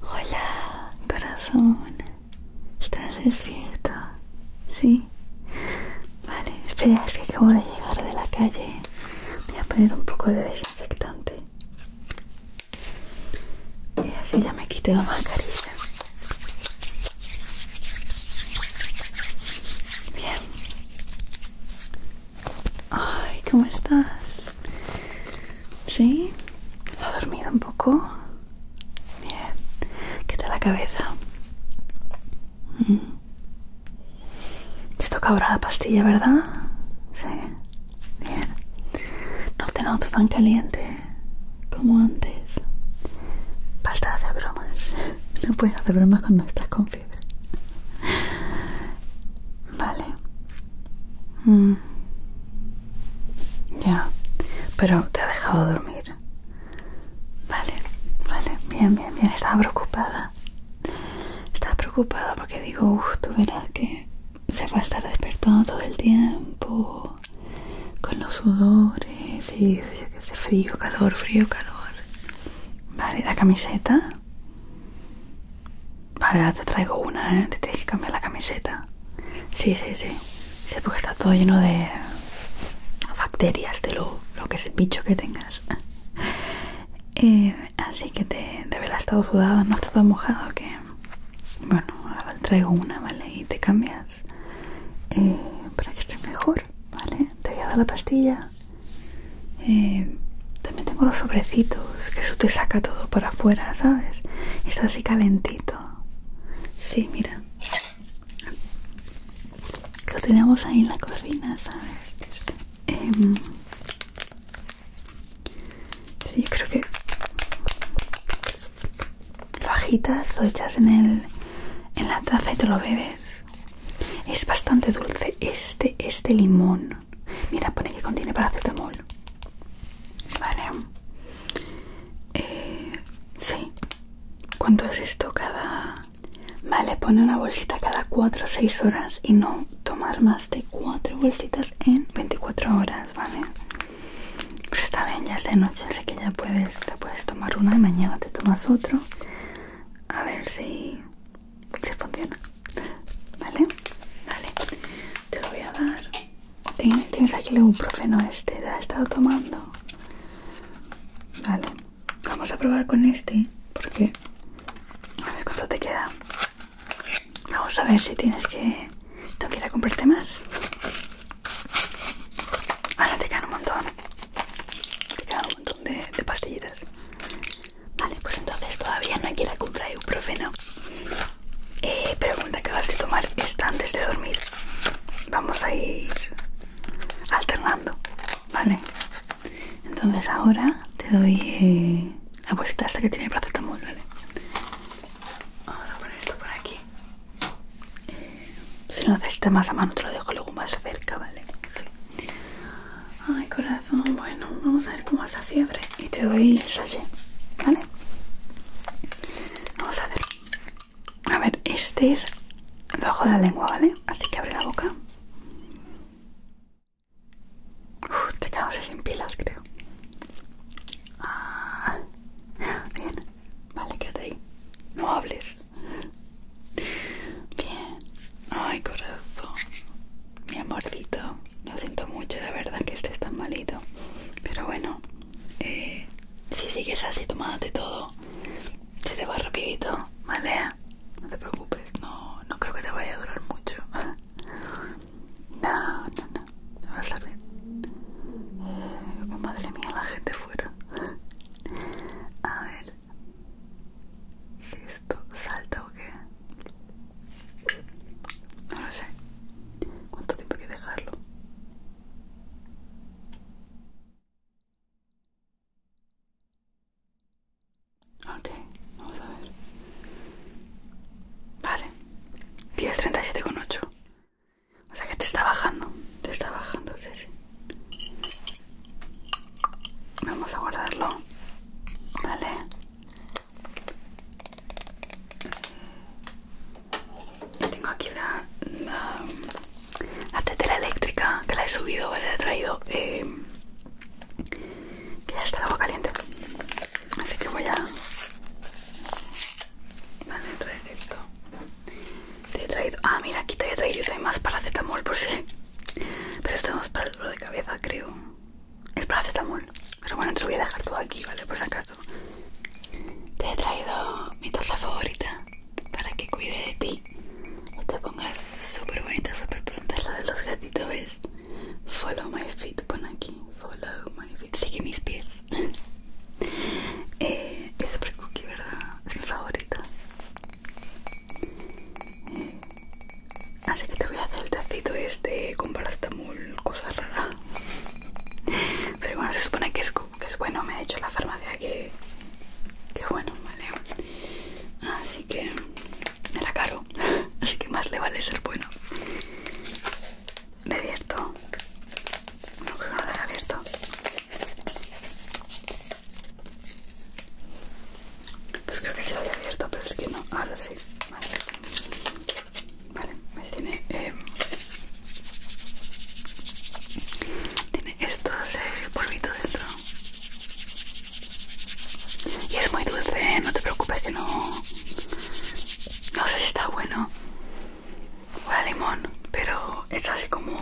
Hola, corazón. ¿Estás despierto? Sí. Vale, espera, es que acabo de llegar de la calle. Voy a poner un poco de desinfectante. Y así ya me quité la mascarilla. Bien. Ay, ¿cómo estás? ¿Sí? ¿Ha dormido un poco? Bien. ¿Qué tal la cabeza? Mm. Te toca ahora la pastilla, ¿verdad? Sí. Bien. No te notas tan caliente como antes. Basta de hacer bromas. No puedes hacer bromas cuando estás con fiebre. Vale. Mm. Ya. Pero te ha dejado dormir. Vale, vale. Bien, bien, bien. Estaba preocupada. Estaba preocupada porque digo, uff, tú verás que se va a estar despertando todo el tiempo con los sudores y frío, calor, frío, calor. Vale, la camiseta. Vale, ahora te traigo una, ¿eh? Te tienes que cambiar la camiseta. Sí, sí, sí. Sí, porque está todo lleno de bacterias, de lo, que es el bicho que tengas. Eh, así que te, de veras estado sudada, no está todo mojado, que... Bueno, ahora traigo una, ¿vale? Y te cambias. Eh, para que esté mejor. ¿vale? Te voy a dar la pastilla. Eh, también tengo los sobrecitos, que eso te saca todo para afuera, ¿sabes? Está así calentito. Sí, mira. lo tenemos ahí en la cocina, ¿sabes? Em, sí, creo que fajitas lo echas en, el, en la taza y te lo bebes. Es bastante dulce. Este este limón. Mira, pone que contiene paracetamol. Vale. Eh, sí. ¿Cuánto es esto cada...? Vale, pone una bolsita cada 4 o 6 horas y no tomar más de 4 bolsitas en 24 horas, ¿vale? Pero está bien, ya se no, ya sé que ya puedes, la puedes tomar una y mañana te tomas otro. A ver si, funciona. ¿Vale? Vale. Te lo voy a dar. Tienes aquí el profeno? este, te he estado tomando. Vale. Vamos a probar con este, porque... A ver cuánto te queda. Vamos a ver si tienes que... Tengo que ir a comprarte más. Ahora te quedan un montón. Te quedan un montón de, pastillitas. Vale, pues entonces todavía no hay que ir a comprar ibuprofeno. Eh, pregunta, acabas de tomar esta antes de dormir. Vamos a ir alternando, ¿vale? Entonces ahora te doy eh, la bolsita esta que tiene el paracetamol, ¿vale? Vamos a poner esto por aquí. Si lo necesitas más a mano te lo dejo luego más cerca, ¿vale? Sí. Ay, corazón, bueno, vamos a ver cómo vas fiebre y te doy el ¿vale? Vamos a ver. A ver, este es Bajo la lengua, ¿vale? Así que abre la boca. te quedamos sin pilas, creo. Ah, bien, vale, quédate ahí. No hables. Bien. Ay, corazón. Mi amorcito. Lo siento mucho, la verdad, que estés tan malito. Pero bueno, eh, si sigues así de todo, se te va rapidito, ¿vale? No te preocupes, no, no creo que te vaya a durar mucho. No, no, no. Va a salir eh, madre mía, la gente fuera. A ver si esto salta o qué. No lo sé. ¿Cuánto tiempo hay que dejarlo? Ok, vamos a ver. Vale, con ocho. O sea que te está bajando, te está bajando, sí, sí. Vamos a guardarlo. Vale. Tengo aquí la, tetera eléctrica que la he subido, ¿vale? La he traído. Eh, que ya está el agua caliente. Así que voy a... Vale, traer esto. Te he traído. Ah, mira, aquí te había traído también más paracetamol por si. Pero esto es más para el dolor de cabeza, creo. Es paracetamol. Pero bueno, te lo voy a dejar todo aquí, ¿vale? Por si acaso. Te he traído mi taza favorita para que cuide de ti. Y te pongas súper bonita, súper pronta. Es la de los gatitos, ¿ves? Follow my feet, pon aquí. Follow my feet. Sigue mis pies. Eh, es súper cookie, ¿verdad? Es mi favorita. Así que te voy a hacer el tacito este con paracetamol, cosa rara. Pero bueno, se supone que es, que es bueno, me ha dicho la farmacia que, que bueno, vale. Así que era caro, así que más le vale ser bueno. Le abierto. No, creo que no lo he abierto. Pues creo que se lo había abierto, pero es que no. Ahora sí. Vale. Vale, pues tiene. Em, tiene estos eh, polvitos dentro. Y es muy dulce, ¿eh? no te preocupes que no. No sé si está bueno. Hola limón, pero es así como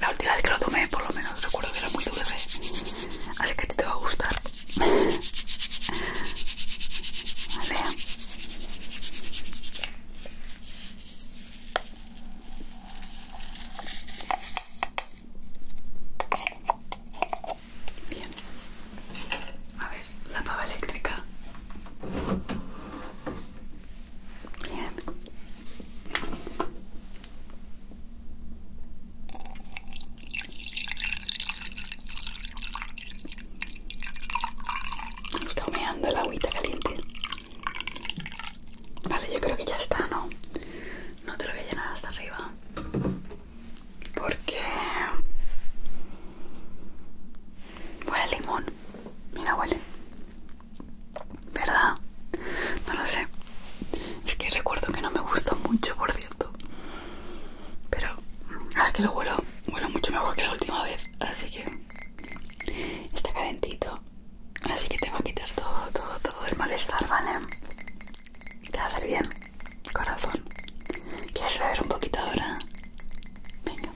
la última vez que lo tomé, por lo menos recuerdo que era muy dulce. Así que a ti te va a gustar. Vale. Bien. A ver, la pava eléctrica. Bien. Está humeando el agüita caliente. Vale, yo creo que ya está, ¿no? No te lo voy a llenar hasta arriba. Porque... Huele limón. Mira, huele. ¿Verdad? No lo sé. Es que recuerdo que no me gusta mucho, por cierto. Pero ahora que lo huelo, huelo mucho mejor que la última vez. Así que está calentito. Así que te va a quitar todo, todo, todo el malestar, ¿vale? Te va a hacer bien, corazón. ¿Quieres beber un poquito ahora? Venga.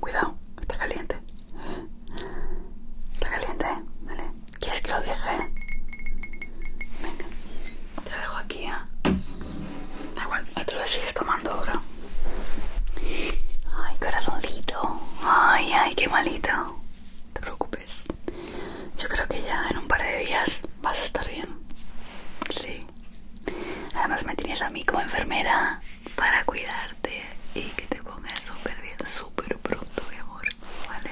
Cuidado, está caliente. Está caliente, Vale. ¿eh? ¿Quieres que lo deje? Venga, te lo dejo aquí, ¿eh? Da igual, otra lo sigues tomando ahora. Ay, corazoncito. Ay, ay, qué malito. No te preocupes. Yo creo que ya en un par de días vas a estar bien. Sí. Además me tienes a mí como enfermera para cuidarte y que te pongas súper bien, súper pronto, mi amor, ¿vale?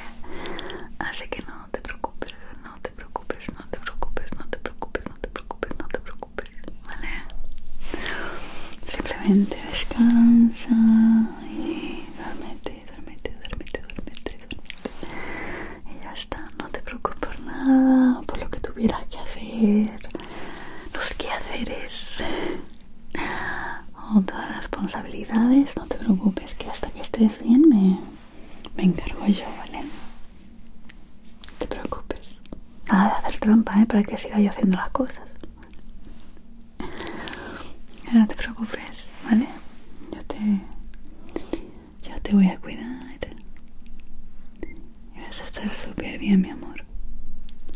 Así que no te preocupes, no te preocupes, no te preocupes, no te preocupes, no te preocupes, no te preocupes, ¿vale? Simplemente descansa y duérmete, duérmete, duérmete, duérmete, Y ya está, no te preocupes por nada, por lo que tuvieras que hacer, los quehaceres todas las responsabilidades, no te preocupes que hasta que estés bien me, encargo yo, ¿vale? No te preocupes. Nada de hacer trampa, ¿eh? Para que siga yo haciendo las cosas. No te preocupes, ¿vale? Yo te, yo te voy a cuidar. Y vas a estar súper bien, mi amor.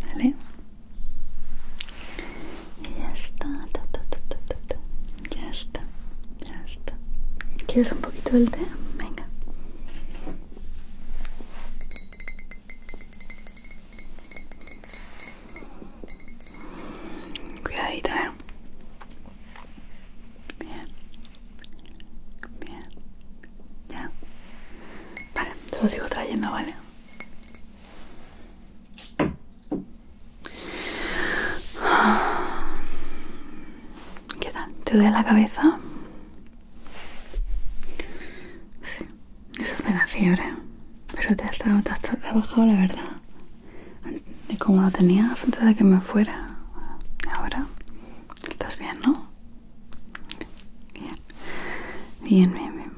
¿Vale? ya está, ya está, ya está. ¿Quieres un poquito del té? Venga. Cuidadita, eh. Bien. Bien. Ya. Vale, te lo sigo trayendo, ¿vale? ¿Qué tal? ¿Te duele la cabeza? Sí, eso es de la fiebre. Pero te ha estado te la verdad. De cómo lo tenías antes de que me fuera. Ahora estás bien, ¿no? Bien, bien, bien,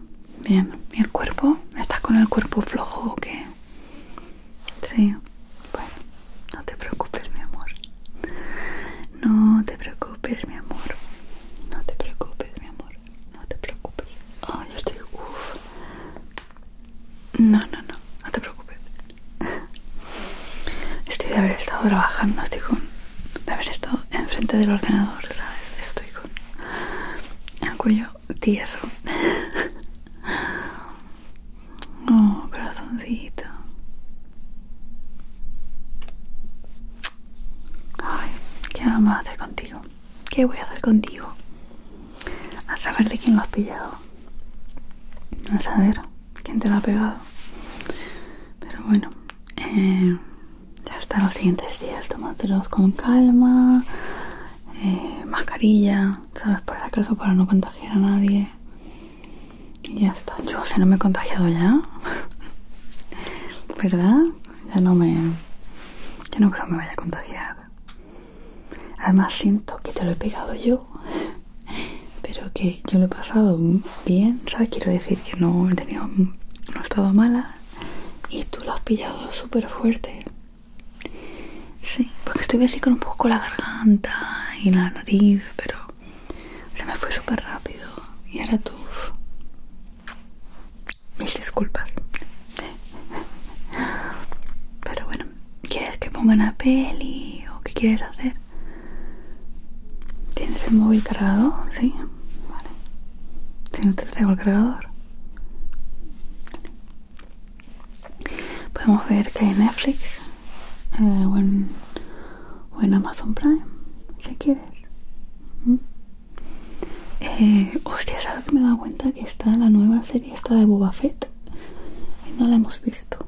bien. ¿Y el cuerpo? ¿Estás con el cuerpo flojo o qué? Sí, bueno, no te preocupes, mi amor. No te preocupes, mi amor. No te preocupes, mi amor. No te preocupes. Oh, yo estoy. uff. No, no, no. No te preocupes. Estoy de haber estado trabajando, estoy de haber estado enfrente del ordenador, ¿sabes? el cuello tieso. Oh, corazoncito. Ay, ¿qué vamos a hacer contigo? ¿Qué voy a hacer contigo? A saber de quién lo has pillado. A saber quién te lo ha pegado. Pero bueno, ya eh, hasta los siguientes días tómatelos con calma eh, mascarilla sabes por acaso para no contagiar a nadie y ya está yo si no me he contagiado ya verdad ya no me yo no creo me vaya a contagiar además siento que te lo he pegado yo pero que yo lo he pasado bien sabes quiero decir que no he tenido no he estado mala y tú lo has pillado súper fuerte. Sí, porque estuve así con un poco la garganta y la nariz, pero se me fue súper rápido. Y ahora tú. Mis disculpas. Pero bueno, ¿quieres que ponga la peli o qué quieres hacer? ¿Tienes el móvil cargado? Sí, vale. Si no te traigo el cargador. Podemos ver que hay Netflix eh, o, en, Amazon Prime, si quieres. Eh, hostia, ¿sabes que me he dado cuenta que está la nueva serie esta de Boba Fett? Y no la hemos visto.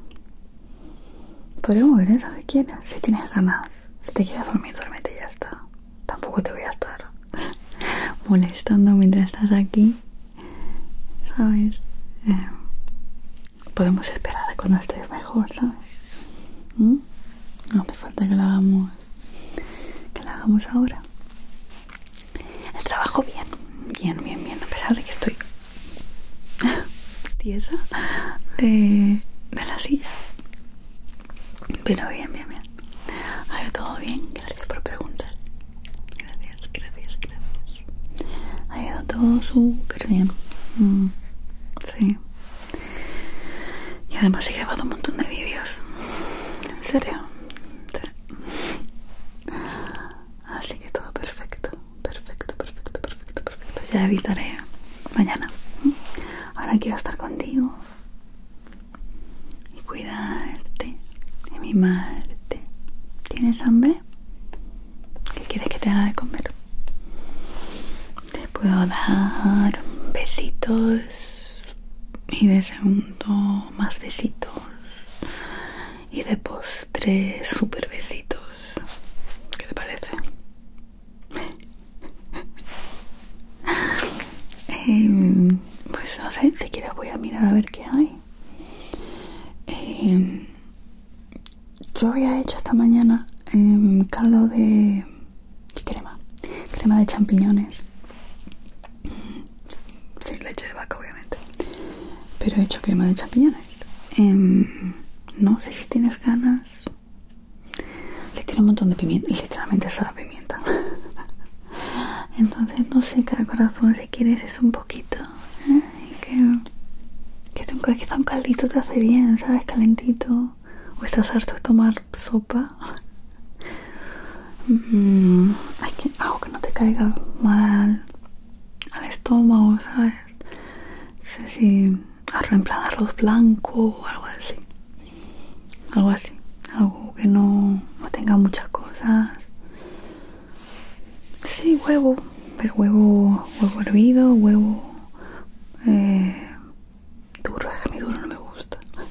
Podemos ver esa si quieres, si tienes ganas. Si te quieres dormir, duérmete ya está tampoco te voy a estar molestando mientras estás aquí, ¿sabes? Eh, podemos esperar cuando estés mejor, ¿sabes? ¿Mm? No hace falta que lo hagamos, que lo hagamos ahora. El trabajo bien, bien, bien, bien, a pesar de que estoy tiesa de, de la silla pero bien, bien, bien. Ha ido todo bien. Gracias por preguntar. Gracias, gracias, gracias. Ha ido todo súper bien. Mm, sí. Y además he grabado un montón de vídeos. En serio. Así que todo perfecto. Perfecto, perfecto, perfecto, perfecto. Ya evitaré mañana. Ahora quiero estar contigo, y cuidarte y mimarte. ¿Tienes hambre? ¿Qué quieres que te haga de comer? Te puedo dar besitos y de segundo más besitos y de postre super besitos. ¿Qué te parece? Em, pues no sé, quieres voy a mirar a ver qué hay. Em, yo había hecho esta mañana em, caldo de crema, crema de champiñones, sin leche de vaca obviamente, pero he hecho crema de champiñones. no sé si tienes ganas le tiene un montón de pimienta, y literalmente sabe pimienta. Entonces no sé, cada corazón si quieres es un poquito. ¿eh? Que, que, un, caldito te hace bien, ¿sabes? Calentito. O estás harto de tomar sopa. Mm, hay que, algo ah, que no te caiga mal al, estómago, ¿sabes? No sé si en plan arroz blanco o algo así algo así algo que no, tenga muchas cosas sí huevo pero huevo huevo hervido huevo eh, duro es que mi duro no me gusta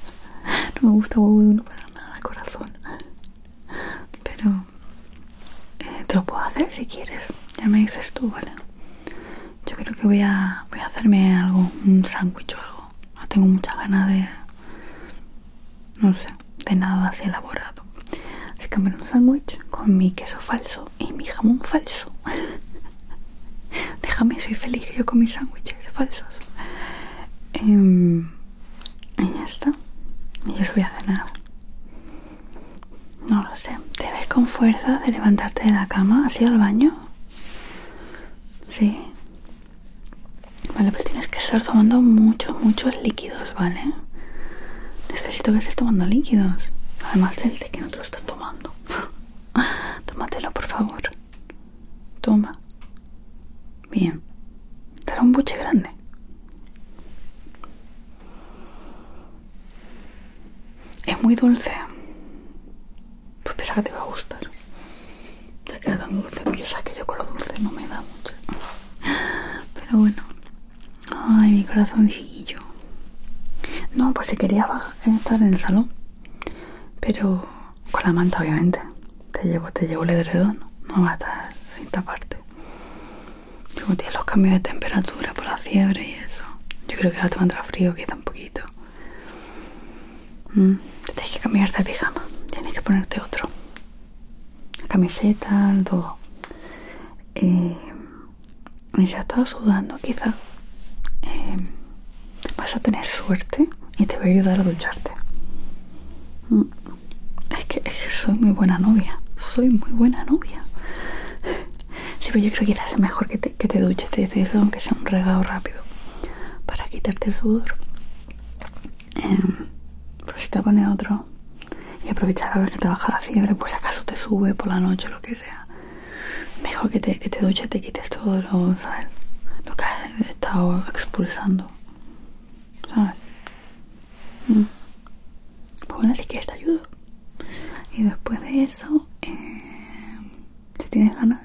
no me gusta huevo duro para nada corazón pero eh, te lo puedo hacer si quieres ya me dices tú vale yo creo que voy a voy a hacerme algo un sándwich o algo no tengo mucha ganas de no sé de nada así elaborado así que me un sándwich con mi queso falso y mi jamón falso déjame soy feliz yo con mis sándwiches falsos em, y ya está y yo voy a cenar no lo sé te ves con fuerza de levantarte de la cama has el al baño Sí. Vale, pues tienes que estar tomando muchos, muchos líquidos, ¿vale? Necesito que estés tomando líquidos. Además del de que no te lo estás tomando. Tómatelo, por favor. Toma. Bien. será un buche grande. Es muy dulce pues pensaba que te iba a gustar. Ya que era tan dulce, pues yo sabes que yo con lo dulce no me da mucho. Pero bueno. Ay, mi corazoncillo. No, por si quería eh, estar en el salón. Pero con la manta, obviamente. Te llevo, te llevo el edredón. No va a estar sin taparte. Como tienes los cambios de temperatura por la fiebre y eso. Yo creo que ahora te va a entrar frío, que un poquito. Mm, tienes que cambiarte de pijama, tienes que ponerte otro. La camiseta, todo. si eh, ya estás sudando, quizá. Eh, vas a tener suerte y te voy a ayudar a ducharte. Mm, es, que, soy muy buena novia. Soy muy buena novia. Sí, pero yo creo que quizás es mejor que te, que te duches, te dices aunque sea un regalo rápido para quitarte el sudor eh, em, si pues te pone otro y aprovechar a ver que te baja la fiebre pues acaso te sube por la noche o lo que sea mejor que te, que te te quites todo lo, ¿sabes? lo que has estado expulsando ¿sabes? Mm. pues bueno si que te ayudo y después de eso em, si tienes ganas,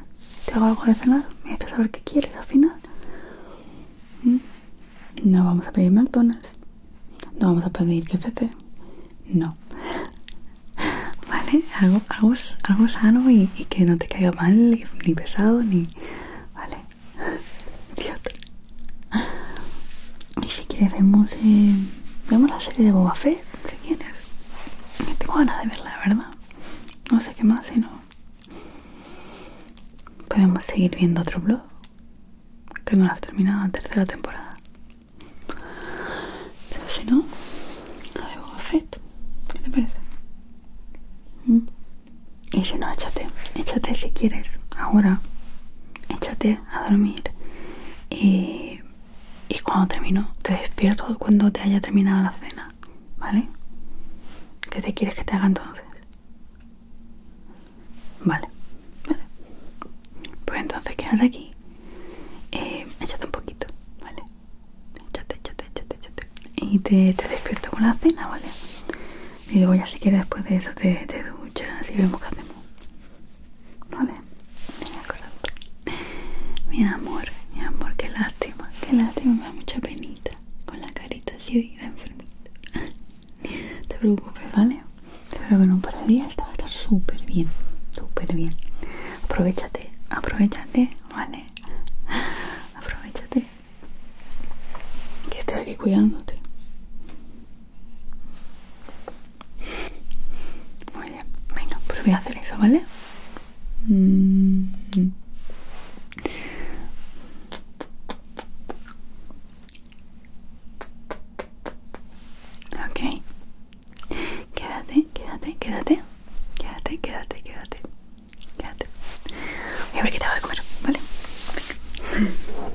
te hago algo de cenar, me dejas saber qué quieres al final. Mm. No vamos a pedir McDonald's, no vamos a pedir KFC, no. ¿Vale? Algo, algo, algo sano y, que no te caiga mal, ni, pesado, ni. Vale. Y si quieres, vemos, eh, vemos la serie de Boba Fett, si quieres. Tengo ganas de verla, ¿verdad? no sé qué más, sino podemos seguir viendo otro blog que no lo has terminado la tercera temporada. Pero si no, a de a ¿qué te parece? Mm. Y si no, échate, échate si quieres, ahora, échate a dormir. Y, y cuando termino, te despierto cuando te haya terminado la cena ¿vale? ¿Qué te quieres que te haga entonces? Vale, Pues entonces quédate aquí. Eh, échate un poquito, ¿vale? Échate, échate, échate, échate. Y te, despierto con la cena, ¿vale? Y luego ya si quieres después de eso te, te duchas y vemos qué hacemos. ¿Vale? Mi amor, mi amor, qué lástima, qué lástima, me da mucha penita con la carita así de enfermita. No te preocupes, ¿vale? Espero que en un par de días te va a estar súper bien, súper bien. Aprovechate, aprovechate, ¿vale? Aprovechate. Que estoy aquí cuidándote. Muy bien, venga, pues voy a hacer eso, ¿vale? Okay, mm. Ok, quédate, quédate, quédate, quédate, quédate, quédate, quédate. Voy a ver qué te voy a comer, ¿vale?